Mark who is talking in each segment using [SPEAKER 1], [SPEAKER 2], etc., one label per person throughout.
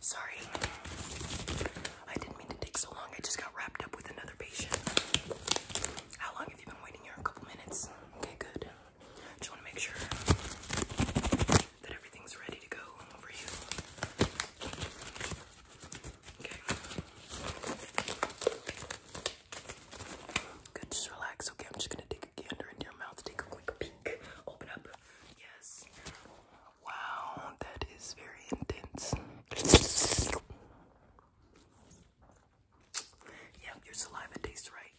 [SPEAKER 1] Sorry, I didn't mean to take so long. I just got wrapped up with another patient. How long have you been waiting here? A couple minutes. Okay, good. Just want to make sure that everything's ready to go over here. Okay. Good, just relax. Okay, I'm just gonna dig take a your mouth. Take a quick peek. Open up. Yes. Wow, that is very intense. Yep, your saliva tastes right.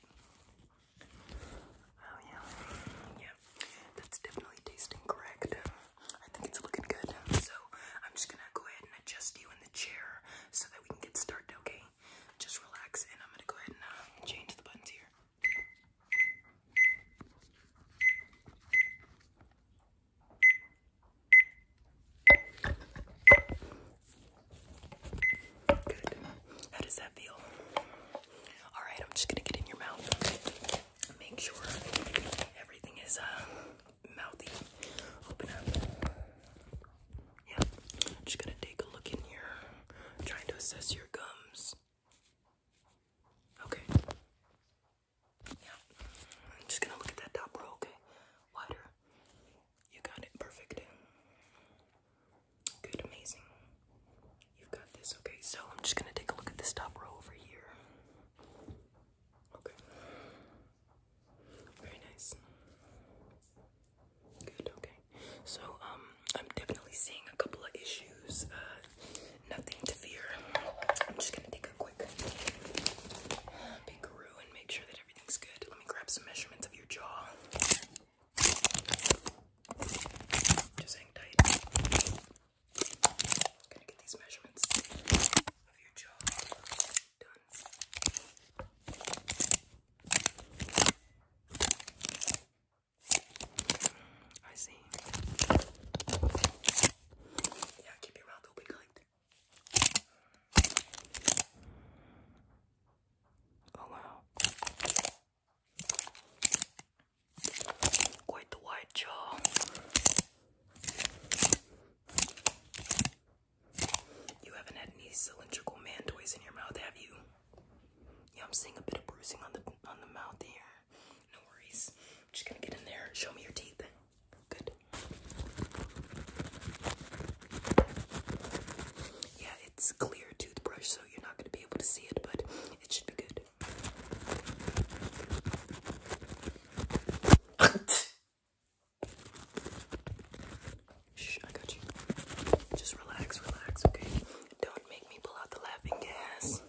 [SPEAKER 1] Oh yeah. Yeah. That's definitely tasting correct. I think it's looking good. So I'm just gonna go ahead and adjust you in the chair so that we can get started, okay? Just relax, and I'm gonna go ahead and uh, change the buttons here. Good. How does that feel? All right, I'm just gonna get in your mouth. Make sure everything is uh, mouthy. Open up. Yeah, just gonna take a look in here, trying to assess your gums. Okay. Yeah, I'm just gonna look at that top row, okay? Wider. You got it, perfect. Good, amazing. You've got this, okay? So I'm just gonna take a look at this top row over here. Okay. Very nice. Good, okay. So, um, I'm definitely seeing a couple of issues. Uh, nothing to fear. I'm just gonna take a quick peekaroo and make sure that everything's good. Let me grab some measurements of your jaw. Just hang tight. gonna get these measurements of your jaw done. I see. Yeah, keep your mouth open, Oh wow. Quite the wide jaw. You haven't had any cylindrical man toys in your mouth, have you? Yeah, I'm seeing a bit of bruising on the on the mouth here. No worries. just gonna get in there. Show me your teeth. Good. Yeah, it's clear toothbrush, so you're not gonna be able to see it, but it should be good. Shh, I got you. Just relax, relax, okay? Don't make me pull out the laughing gas.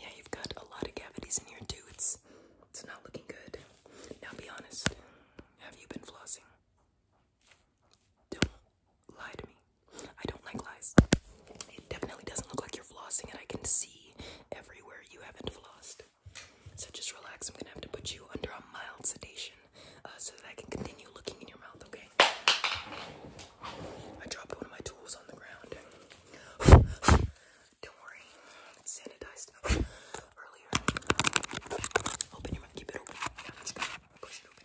[SPEAKER 1] Yeah, you've got a lot of cavities in here too. It's it's not looking good. Now be honest. Have you been flossing? Don't lie to me. I don't like lies. It definitely doesn't look like you're flossing, and I can see everywhere you haven't flossed. So just relax. I'm gonna have to put you under a mild sedation uh, so that I can continue looking in your mouth, okay? I dropped one of my tools on the ground. Don't worry, it's sanitized earlier. Open your mouth, keep it open. Push it open.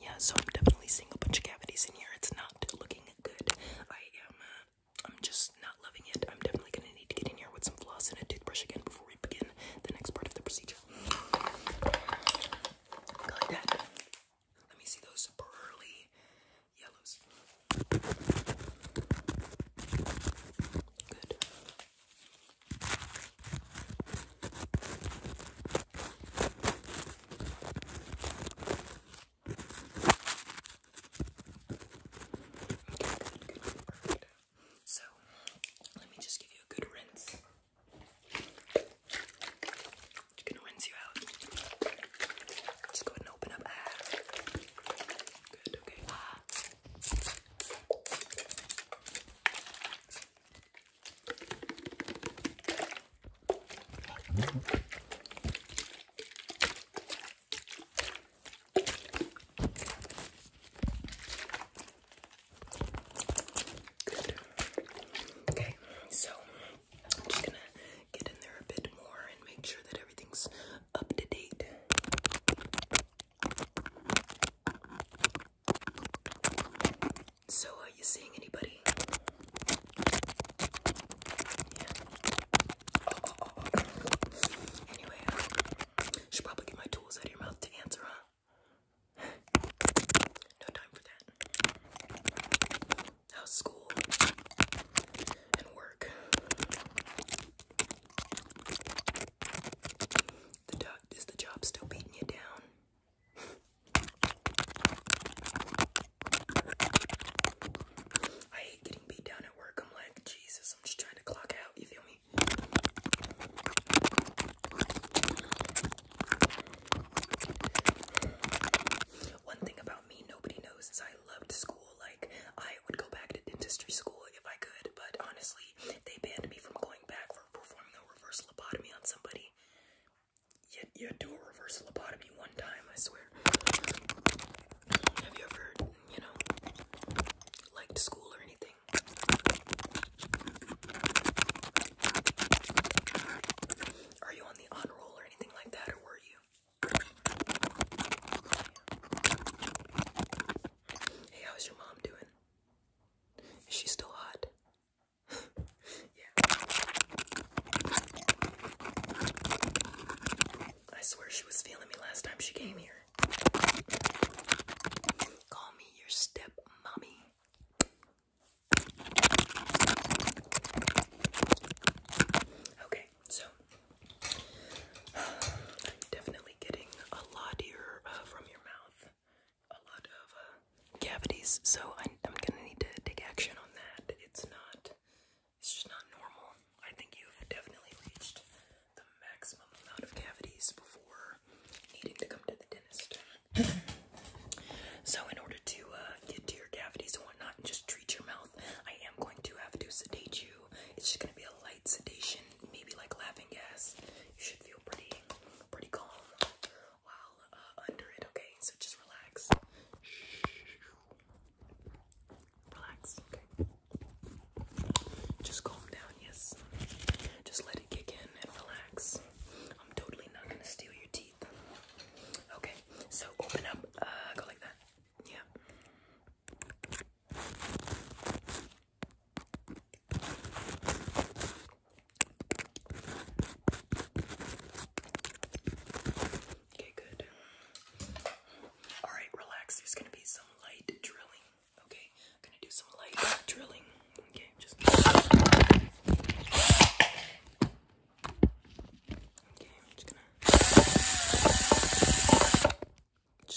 [SPEAKER 1] Yeah, so I'm definitely seeing a bunch of cavities in here. It's not looking good. I am, uh, I'm just not loving it. I'm definitely gonna need to get in here with some floss and a toothbrush again before we begin the next part of the procedure. like that. Let me see those pearly yellows. Good good, perfect. So, let me just give you a good rinse. Just gonna rinse you out. Just go ahead and open up. Ah. Good, okay. Ah. Okay, so I'm just gonna get in there a bit more and make sure that everything's up to date. So, are you seeing anybody? Yeah. Anyway, I should probably get my tools out of your mouth to answer, huh? No time for that. How's school and work? The dog, is the job still beating you down? I hate getting beat down at work. I'm like, Jesus, I'm just trying to clock out. You feel me? One thing about me nobody knows is I loved school. Like, I would go back to dentistry school if I could, but honestly, they banned me from going back performing a reverse lobotomy on somebody. You, you do a reverse lobotomy one time, I swear. Have you ever, you know, liked school or anything? Are you on the on or anything like that, or were you? Hey, how's your mom doing? Is she still hot? yeah. I swear she was feeling me last time she came here. Call me your step Okay, so I'm definitely getting a lot uh, from your mouth a lot of uh, cavities, so I'm, gonna need to take action on that. It's not, it's just not normal. I think you've definitely reached the maximum amount of cavities before needing to come to the dentist. so, in order to uh, get to your cavities and whatnot and just treat your mouth, I am going to have to sedate you. It's just gonna be a light sedation, maybe like laughing gas. You should feel pretty, pretty calm while uh, under it, okay? So just relax. Relax, okay? Just calm down, yes. Just let it kick in and relax. I'm totally not gonna steal your teeth. Okay, so open up, uh, go like that. Yeah. Okay, good. Alright, relax. There's gonna be some light drilling. Okay, gonna do some light drilling. Okay, just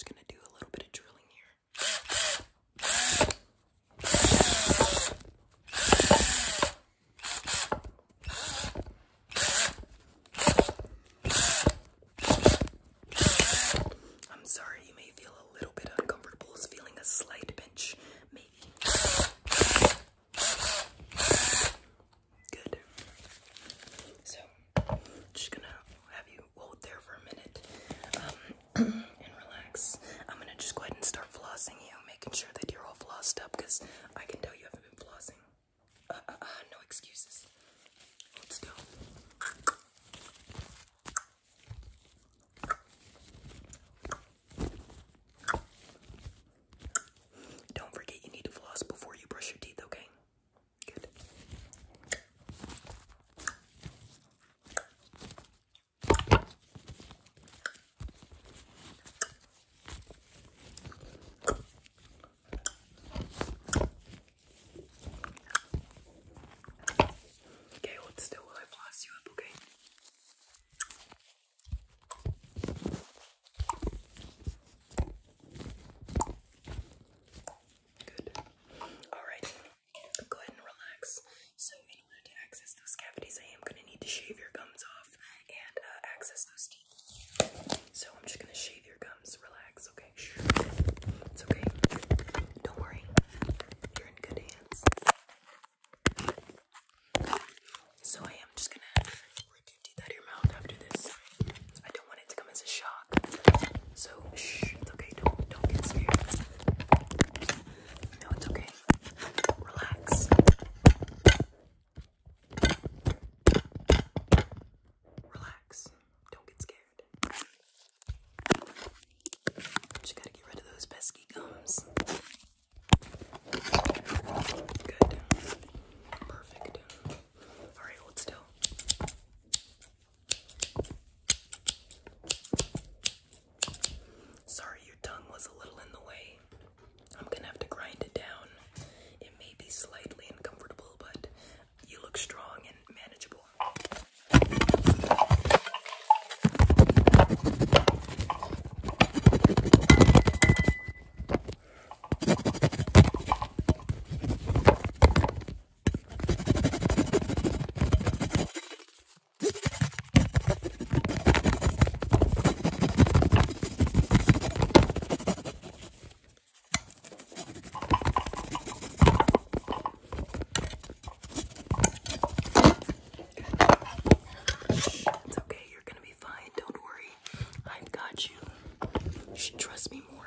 [SPEAKER 1] gonna do a little bit of drilling here. I'm sorry, you may feel a little bit uncomfortable it's feeling a slight pinch, maybe. Good. So, just gonna have you hold there for a minute. Um, and relax. I'm gonna just go ahead and start flossing you, making sure that you're all flossed up because I can tell you haven't been flossing. Uh, uh, uh, no excuses. Let's go. Don't forget you need to floss before you brush your teeth, okay? Good. Okay, hold still while I floss you up, okay? Good. All right. Go ahead and relax. So, in order to access those cavities, I am going to need to shave your gums off and uh, access those teeth. So, I'm just going to shave your gums. Relax, okay? Shh. It's okay. Don't worry. You're in good hands. So, I am just going to rip teeth out of your mouth after this. I don't want it to come as a shock. So, shh. It's okay. Don't, don't get scared. No, it's okay. Relax. Relax. Don't get scared. Just gotta get rid of those pesky gums. Good. Perfect. Alright, hold still. Sorry, your tongue was a little in the way. I'm gonna have to grind it down. It may be slightly uncomfortable, but you look strong and manageable. It's okay, you're gonna be fine, don't worry. I've got you. You should trust me more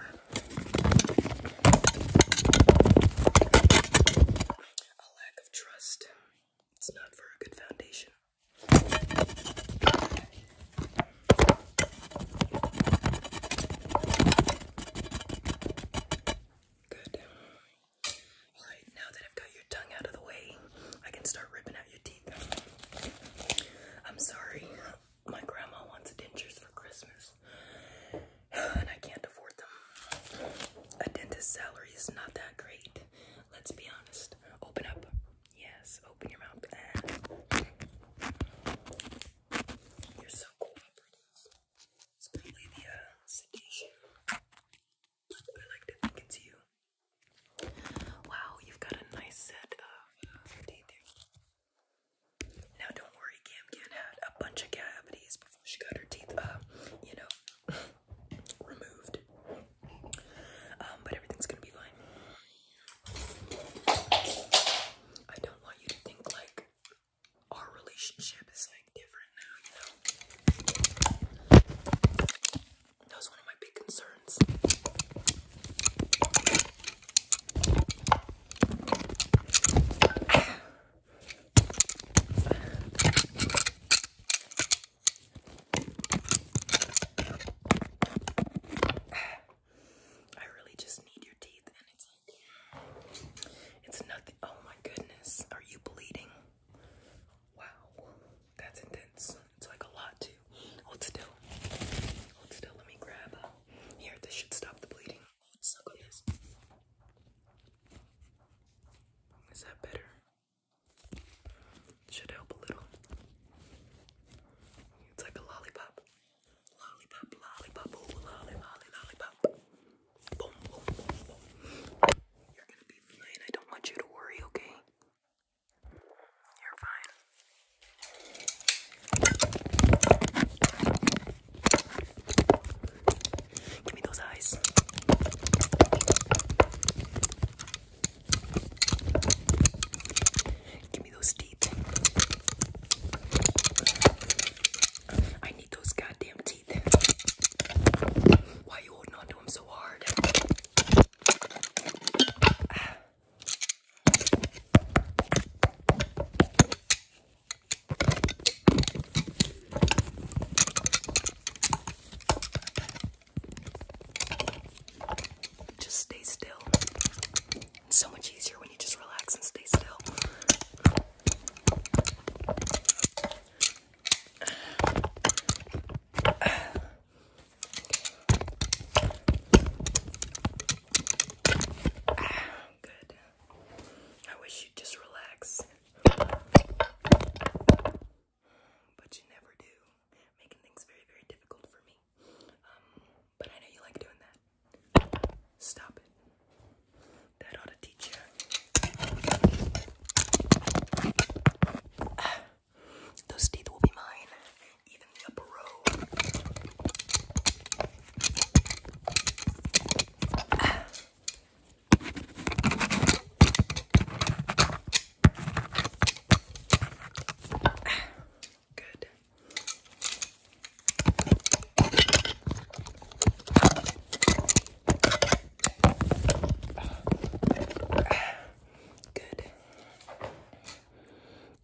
[SPEAKER 1] a lack of trust. It's not for a good foundation. Good. Alright, now that I've got your tongue out of the way, I can start ripping out your teeth. I'm sorry, my grandma wants dentures for Christmas and I can't afford them. A dentist's salary is not that great. Let's be honest. Open up. Yes, open your mouth. You're so cooperative. It's probably the uh, sedation. I like to think it's you. Wow, you've got a nice set of uh, teeth there. Now, don't worry, Gam Gan had a bunch of cavities she got her teeth, uh, you know, removed. Um, but everything's gonna be fine. I don't want you to think like our relationship is like different now, you know. That was one of my big concerns. I really just need your teeth, and it's like, it's nothing. Oh my goodness, are you bleeding? Wow, that's intense. It's like a lot too. Hold still. Hold still. Let me grab. Uh, here, this should stop the bleeding. Oh, it's Is that better? Should help a little. It's like a lollipop. Lollipop, lollipop, ooh, lolly, lollipop. boom. You're gonna be fine. I don't want you to worry, okay? You're fine. Give me those eyes. Give me those teeth. I need those goddamn teeth. Why are you holding on them so hard? Ah. Just stay still. It's so much easier when you just relax and stay still. Good. I wish you just relax but you never do, making things very, very difficult for me. Um, but I know you like doing that. Stop it. That ought to teach you. those teeth will be mine, even the upper row. Good. Good.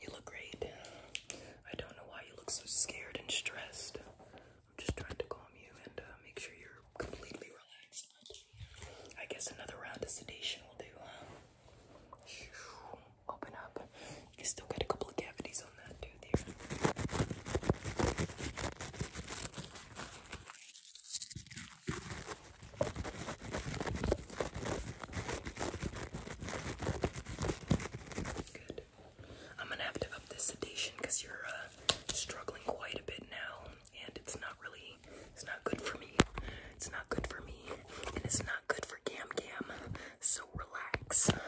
[SPEAKER 1] You look great. I don't know why you look so scared and stressed. I'm just trying to calm you and uh, make sure you're completely relaxed. I guess another round of sedation will do, Open up. You still got a couple of cavities on that tooth here. Good. I'm gonna have to up this sedation because you're uh, struggling quite a bit now, and it's not really, it's not good for me. It's not good for me, and it's not good for Gam Gam. So relax.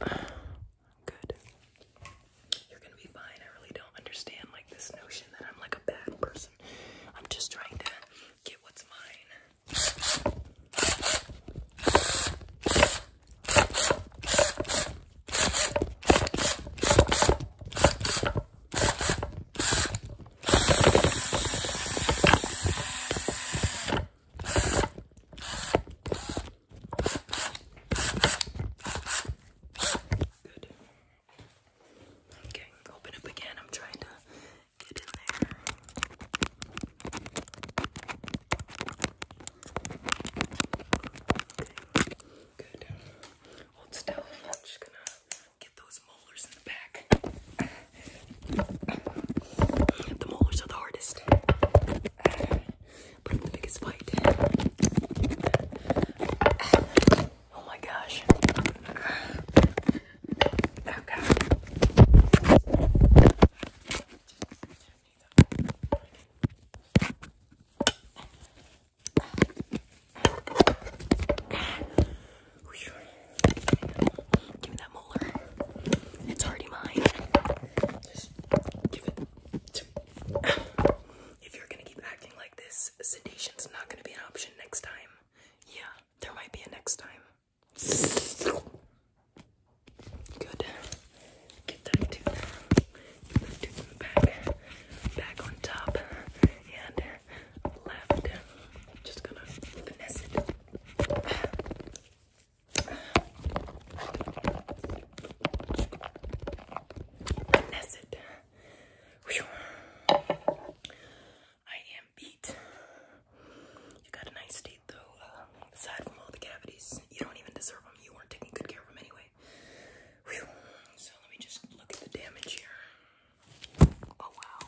[SPEAKER 1] Good. You're gonna be fine. I really don't understand like this notion that I'm like a bad person. I'm just trying to get what's mine. Good. Okay, open up again. I'm trying to get in there good. Hold still. I'm just gonna get those molars in the back. The molars are the hardest. Put the biggest fight. Oh my gosh. Okay. Give me that molar. It's already mine. If you're gonna keep acting like this, sedation's not gonna be an option next time. Yeah, there might be a next time. Good. Get that tooth, back, back on top, and left. Just gonna finesse it. Finesse it. I am beat. You got a nice teeth though, uh, aside from all the cavities. You don't even deserve them. You weren't taking good care of them anyway. So let me just look at the damage here. Oh wow.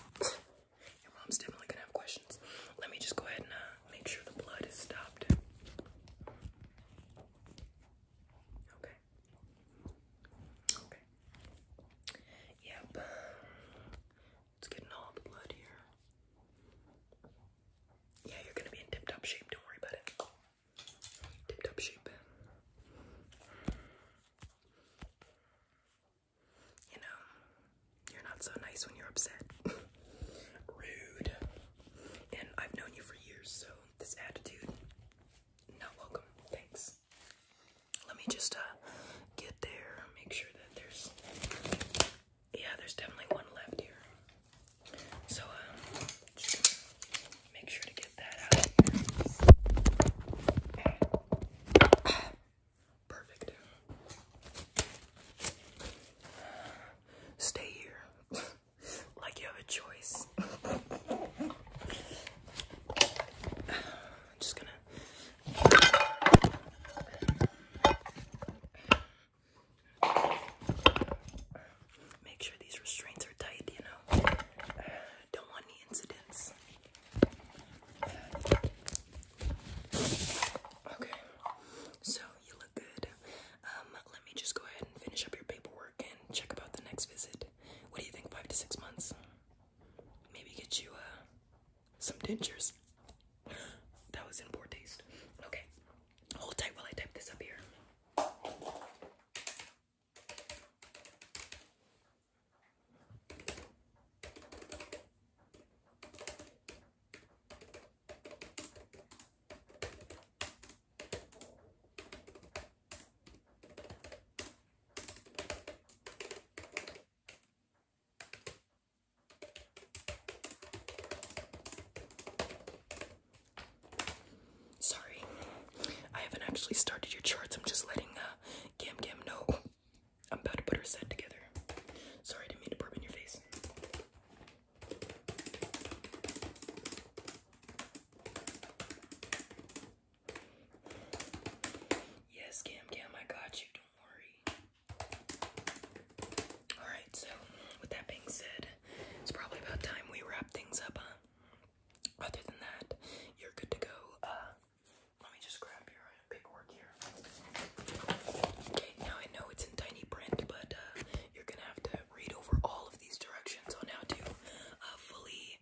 [SPEAKER 1] Your mom's definitely gonna have questions. Let me just go ahead and uh, make sure the blood is stopped. Okay. Okay. Yep. It's getting all the blood here. Yeah, you're gonna be in tip top shape, don't worry about it. Tip top shape. You know, you're not so nice when you're upset. Rude. And I've known you for years, so this attitude, not welcome. Thanks. Let me just uh, get there, make sure that there's yeah, there's definitely one left here. So, um, make sure to get that out Perfect. Stay here. like you have a choice. I'm just gonna. Make sure these restraints are tight, you know. don't want any incidents. Okay, so you look good. Um, let me just go ahead and finish up your paperwork and check about the next visit. What do you think, five to six months? Maybe get you uh, some dentures. that was in poor taste. Okay, Hold tight while I type this up here. Sorry, I haven't actually started your charts. I'm just letting uh, Gam Gam know I'm about to put her set together. Sorry, I didn't mean to burp in your face. Yes, Gam Gam, I got you. Don't worry. Alright, so with that being said, it's probably about time we wrap things up, Other than that, you're good to go. Uh, let me just grab your uh, paperwork here. Okay, now I know it's in tiny print, but uh, you're gonna have to read over all of these directions on how to uh, fully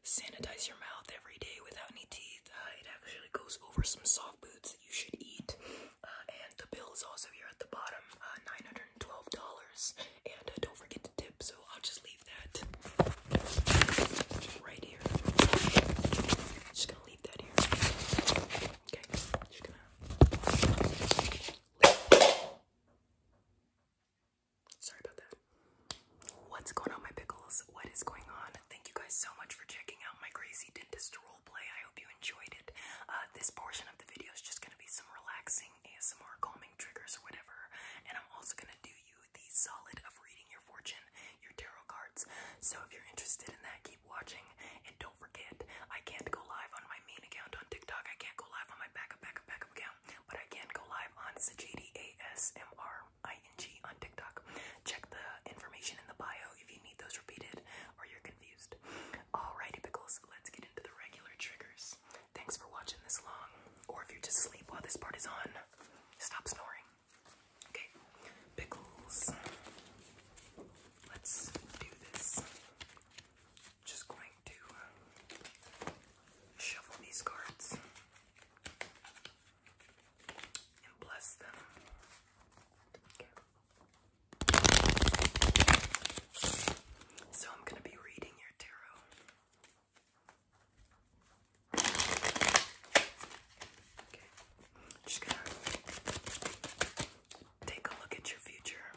[SPEAKER 1] sanitize your mouth every day without any teeth. it actually goes over some soft foods that you should eat uh, and the bill is also here at the bottom, uh, $912. And uh, don't forget to tip, so I'll just leave that right here. Just gonna leave that here. Okay, just gonna. Sorry about that. What's going on, my pickles? What is going on? Thank you guys so much for checking out my crazy dentist roll. I hope you enjoyed it. Uh, this portion of the video is just going to be some relaxing ASMR calming triggers or whatever. And I'm also going to do you the solid of reading your fortune, your tarot cards. So if you're interested in that, keep watching. And don't forget, I can't go live on my main account on TikTok. I can't go live on my backup, backup, backup account. But I can go live on Sajidi ASMR ING on TikTok. Check the information in the bio if you need those repeated, or you're going Alrighty, Pickles, let's get into the regular triggers. Thanks for watching this long. Or if you're just asleep while this part is on, stop snoring. Okay, Pickles, let's do this. Just going to shuffle these cards and bless them. So I'm going to be reading your tarot. Just going to take a look at your future.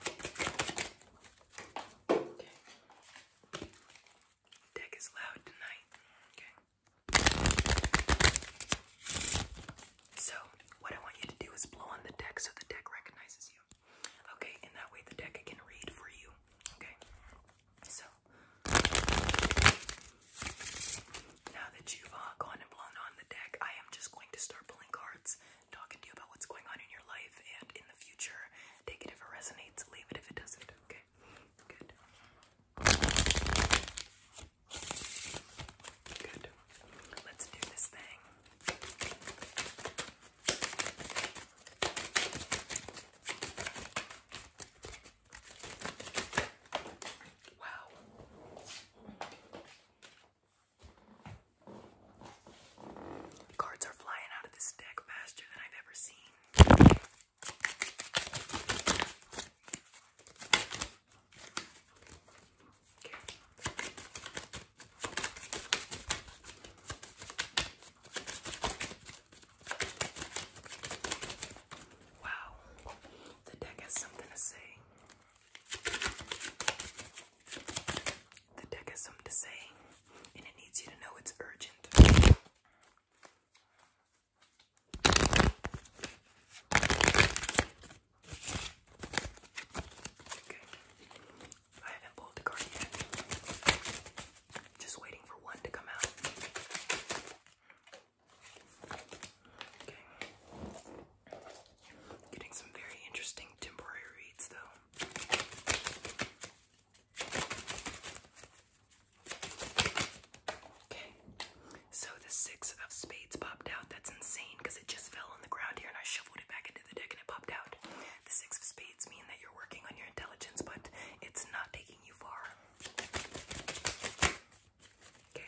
[SPEAKER 1] Deck is loud tonight. Okay. So, what I want you to do is blow on the deck so the deck recognizes you. Okay, and that way the deck can read for you. Okay, so now that you've uh, gone and blown on the deck, I am just going to start pulling cards, talking to you about what's going on in your life and in the future. Take it if it resonates, leave it if it doesn't. Okay, good. Good. Let's do this thing. Wow. Cards are flying out of this deck faster than I've ever seen. Wow, the deck has something to say. The deck has something to say, and it needs you to know it's urgent. Okay. I haven't pulled the card yet. Just waiting for one to come out. Okay. Getting some very interesting temporary reads though. Okay. So the six of spades popped out. That's insane because it just fell on the ground here and I shuffled it back into the deck and it popped out. The six of spades mean that you're working on your intelligence, but it's not taking you far. Okay.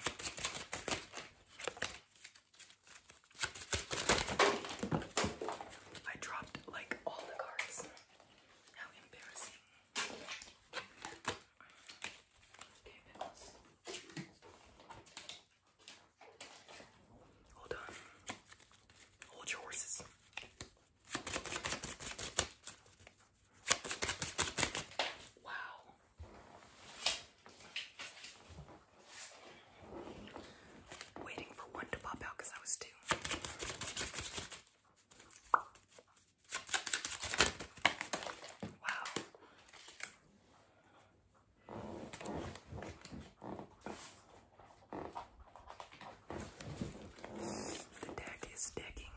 [SPEAKER 1] I dropped like all the cards. How embarrassing. Okay, Pickles. Hold on. Hold your horses. Wow. Waiting for one to pop out because I was two. Wow. The deck is decking.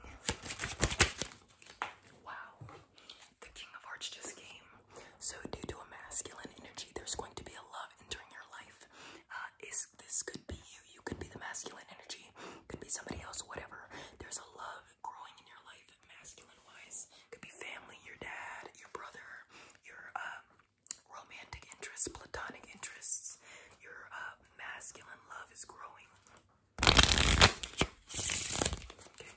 [SPEAKER 1] Wow. The King of Hearts just came. So, due to a masculine energy, there's going to be a love entering your life. Uh, is this could be you? You could be the masculine energy. Could be somebody else. Whatever. There's a love growing in your life masculine wise. Could be family, your dad, your brother, your um, romantic interests, platonic interests. Your uh, masculine love is growing. Okay.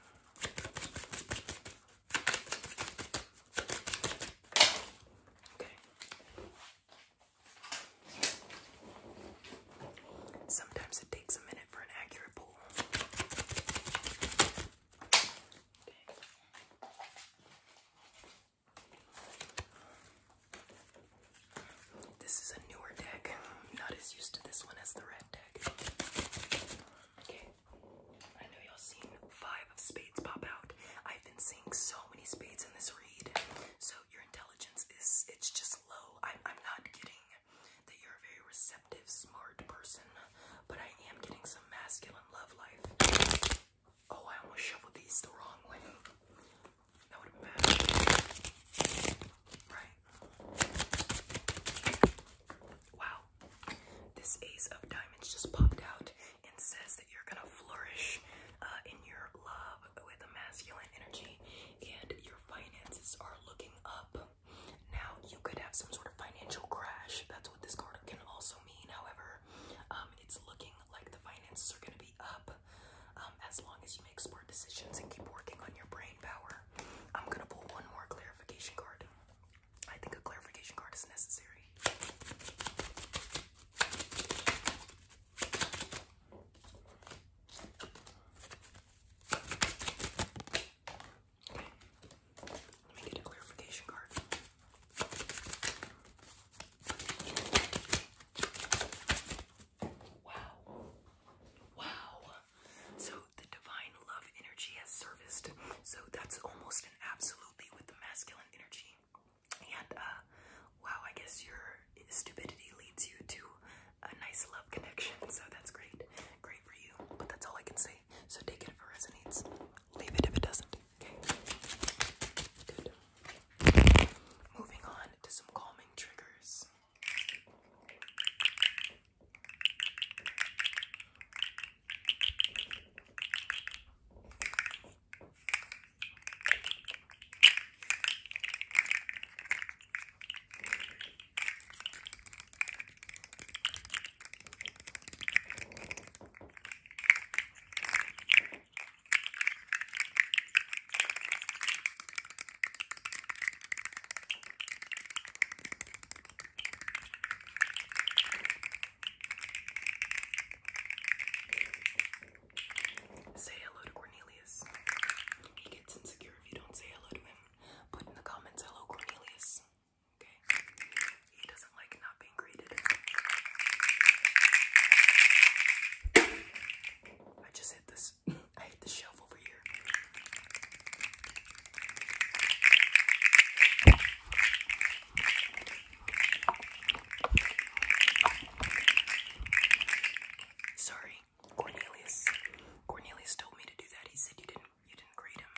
[SPEAKER 1] Okay. Sometimes it takes a minute for an accurate pull. This is a newer deck. i not as used to this one as the red deck. Okay. I know y'all seen five of spades pop out. I've been seeing so many spades in this read. So your intelligence is it's just low. I'm I'm not getting that you're a very receptive, smart person, but I am getting some masculine love life. Oh, I almost shoveled these the wrong way. Right. Wow. This Ace of Diamonds just popped out and says that you're gonna flourish uh, in your love with a masculine energy, and your finances are looking up. Now, you could have some sort of financial crash. That's what this card can also mean. However, um, it's looking like the finances are going to be up um, as long as you make smart decisions and keep working on your brain power. I'm going to pull one more clarification card. I think a clarification card is necessary. Okay. Let me get a clarification card. Wow. Wow. So the divine love energy has serviced. So that's almost an absolutely with the masculine energy. And uh wow, I guess your stupidity leads you to a nice love connection. So that's great. Great for you. But that's all I can say so take it if it resonates. Leave it if it doesn't. Okay. Good. Moving on to some calming triggers. Say hello to Cornelius. He gets insecure if you don't say hello to him. Put in the comments, hello Cornelius. He doesn't like not being greeted. I just hit this. I hit the shelf over here. Sorry, Cornelius. Cornelius told me to do that. He said you didn't you didn't greet him.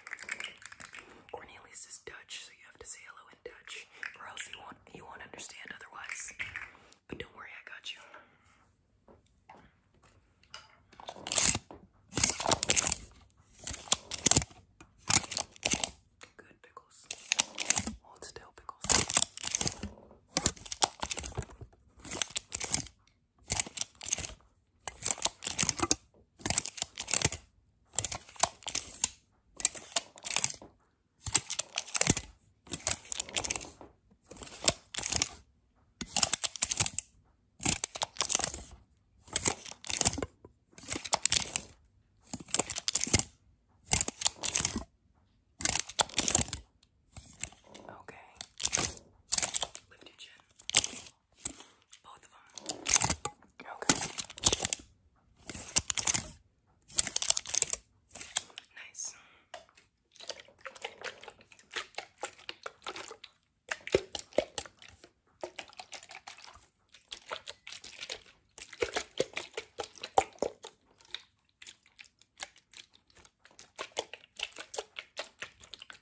[SPEAKER 1] Cornelius is Dutch, so you have to say hello in Dutch, or else you won't you won't understand otherwise. But don't worry, I got you. Good pickles. Hold still, pickles. Okay. Lift your chin. Both of them. Okay. Nice.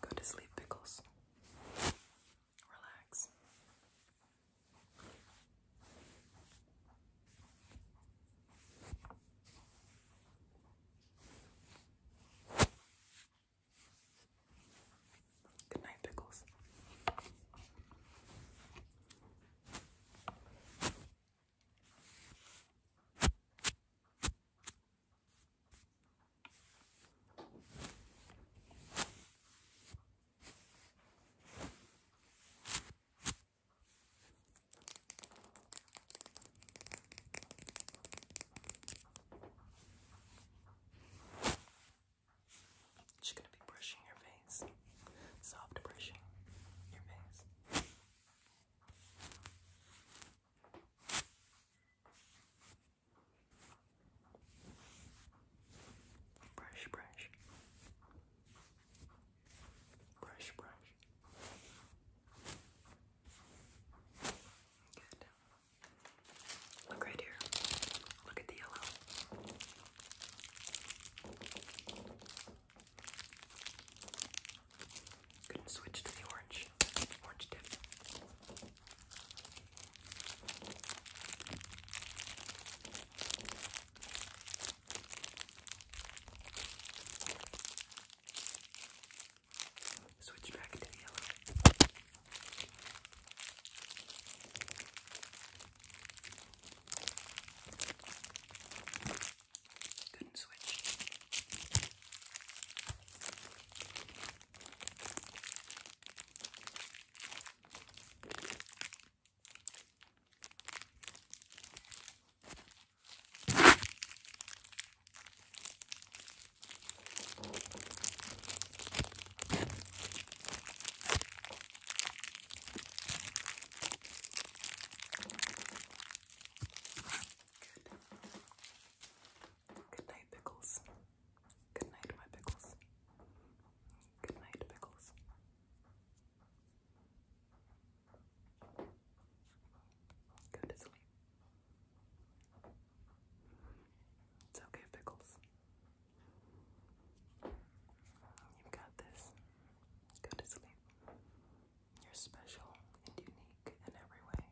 [SPEAKER 1] Go to sleep, pickles. Relax. Good night, Pickles. Just gonna be brushing your face, soft brushing your face. Brush, brush. Brush, brush. Good. Look right here. Look at the yellow. could switch to the orange. Orange tip. Switch back to the yellow. Couldn't switch. Good night, pickles. Good night, my pickles. Good night, pickles. Go to sleep. It's okay, Pickles. You've got this. Go to sleep. You're special and unique in every way.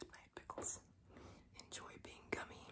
[SPEAKER 1] Good night, Pickles. Enjoy being gummy.